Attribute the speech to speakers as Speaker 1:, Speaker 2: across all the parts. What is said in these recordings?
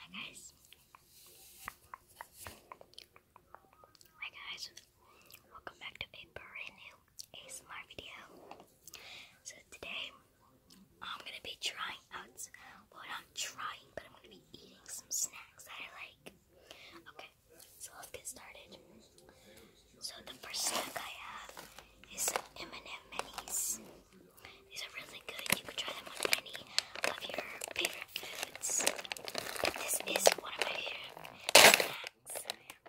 Speaker 1: Hi guys. Hi guys. Welcome back to a brand new ASMR video. So today I'm gonna be trying out well not trying, but I'm gonna be eating some snacks that I like. Okay, so let's get started. So the first snack I have is some M&M minis. These are really good. You could try them on any of your favorite foods. this is one of my favorite snacks.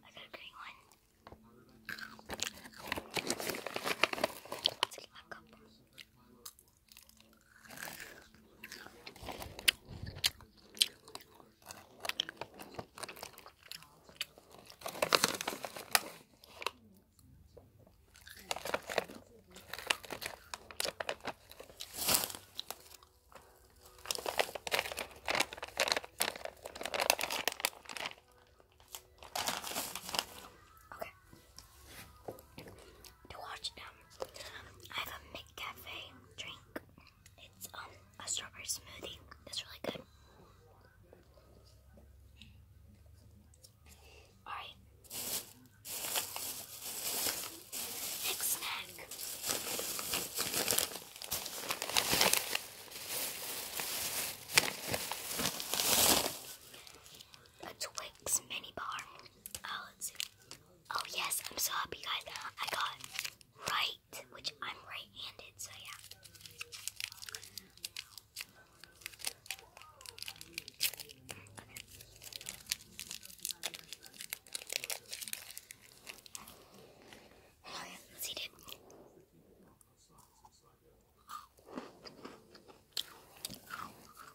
Speaker 1: I got green one. Let's get my cup. Okay. To watch them, um, I have a McCafe drink. It's um a strawberry smoothie. That's really good. Alright. Next snack. A Twix mini bar. Oh, let's see. Oh yes, I'm so happy guys. I got right, which I'm right-handed, so yeah. Okay. Let's eat it.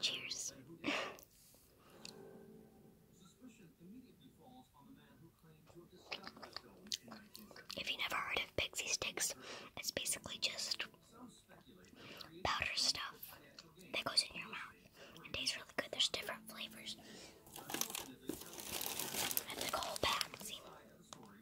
Speaker 1: Cheers. If you never heard of pixie sticks, it's basically just powder stuff that goes in your mouth. It tastes really good. There's different flavors. It's like a whole pack,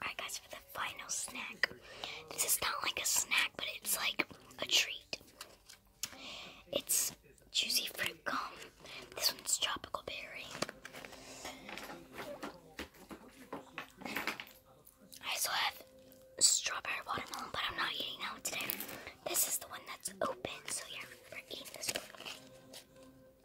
Speaker 1: Alright guys, for the final snack. This is not like a snack, but it's like a treat. It's juicy fruit gum. This one's tropical berry. I also have strawberry watermelon, but I'm not eating that one today. This is the one that's open, so yeah, we're eating this one.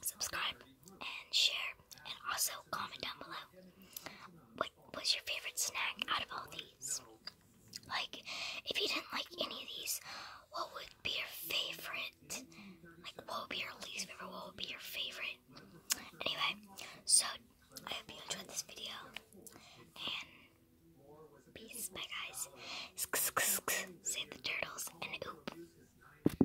Speaker 1: subscribe, and share, and also comment down below what was your favorite snack out of all these. Like, if you didn't like any of these, what would be your favorite? Like, what would be your least favorite? What would be your favorite? Anyway, so I hope you enjoyed this video. And peace. Bye, guys. Save the turtles and oop.